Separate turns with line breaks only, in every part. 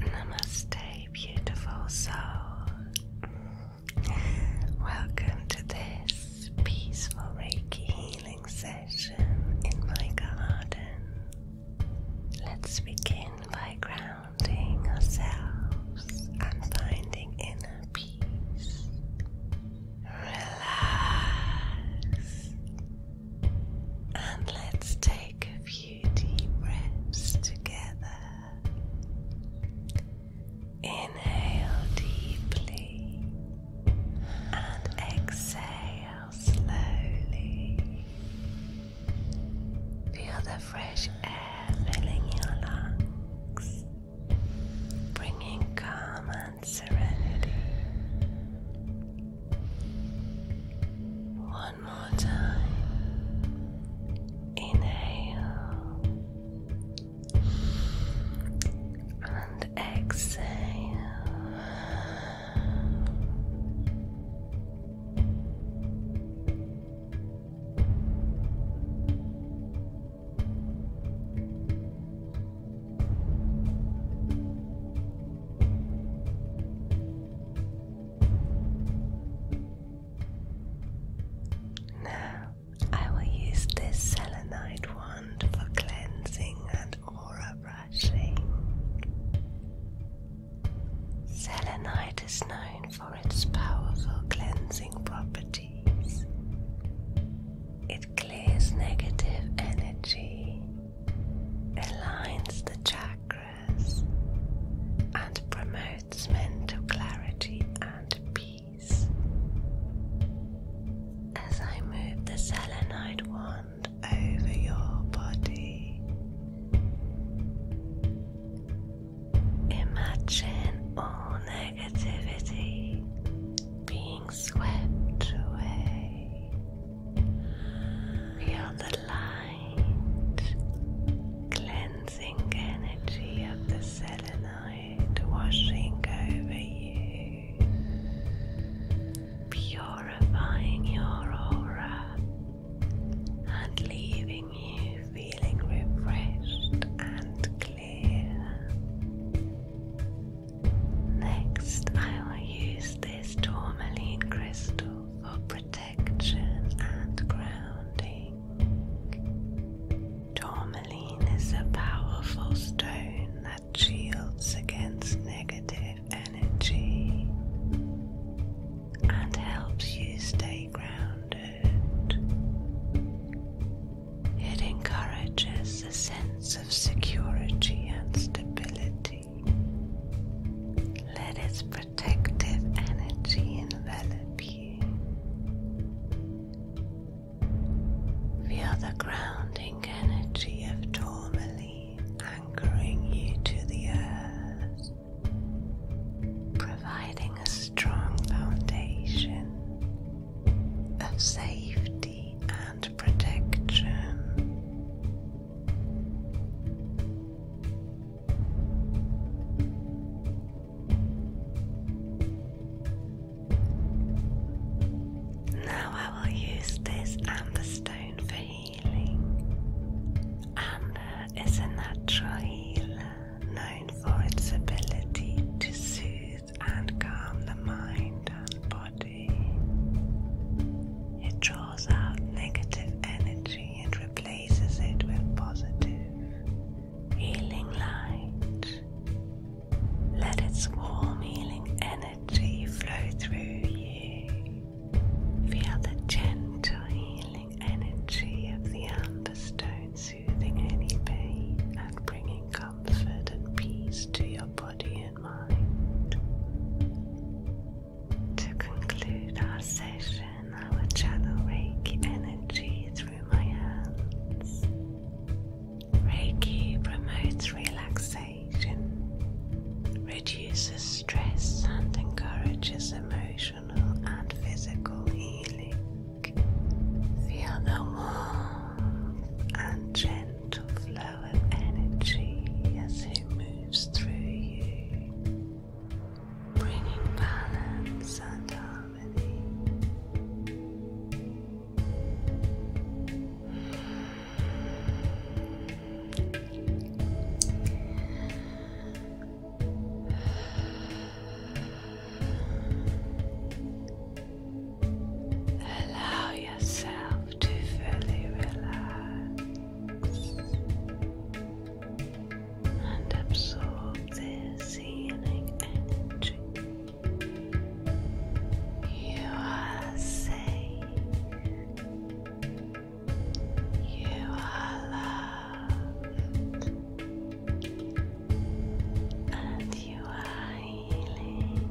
Namaste, beautiful soul. Welcome to this peaceful Reiki healing session in my garden. Let's begin by grounding ourselves and finding inner peace. Relax. And let's take a few deep breaths together. Inhale deeply and exhale slowly. Feel the fresh air filling your lungs, bringing calm and serenity. One one more time. Inhale and exhale. Now, I will use this selenite wand for cleansing and aura brushing. Selenite is known for its powerful cleansing properties. It clears negative energy aligns the chakras, and promotes mental clarity and peace. As I move the selenite wand over your body, imagine all negativity being swept away. Feel the light, cleansing energy of the selenite washing over you, purifying your aura and leaving you feeling refreshed and clear. Next, I will use this tourmaline crystal for protection and grounding. Tourmaline is a powerful stone that shields against negative energy and helps you stay grounded. It encourages a sense of security and stability. Let its protective energy envelop you. Feel the grounding energy of tourmaline anchoring you to the earth, providing a strong foundation of safety and and protection. Now I will use this amber stone for healing. Amber is a natural healer known for its ability to soothe and calm the mind and body. It draws out negative energy and replaces it with positive, healing light. Let its warm, healing energy flow through you. Feel the gentle, healing energy of the amber stone soothing any pain and bringing comfort and peace to your body to conclude our session, I will channel Reiki energy through my hands. Reiki promotes relaxation, reduces stress, and encourages emotional and physical healing. Feel the warmth and gentle to flow of energy as it moves through you, bringing balance and harmony. Allow yourself to fully relax and absorb this healing energy. You are safe. You are loved and you are healing.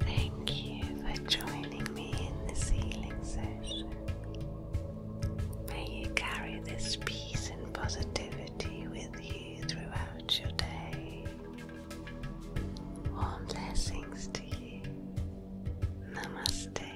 Thank you for joining me in this healing session. May you carry this peace and positivity with you throughout your day. Warm blessings to you. Namaste.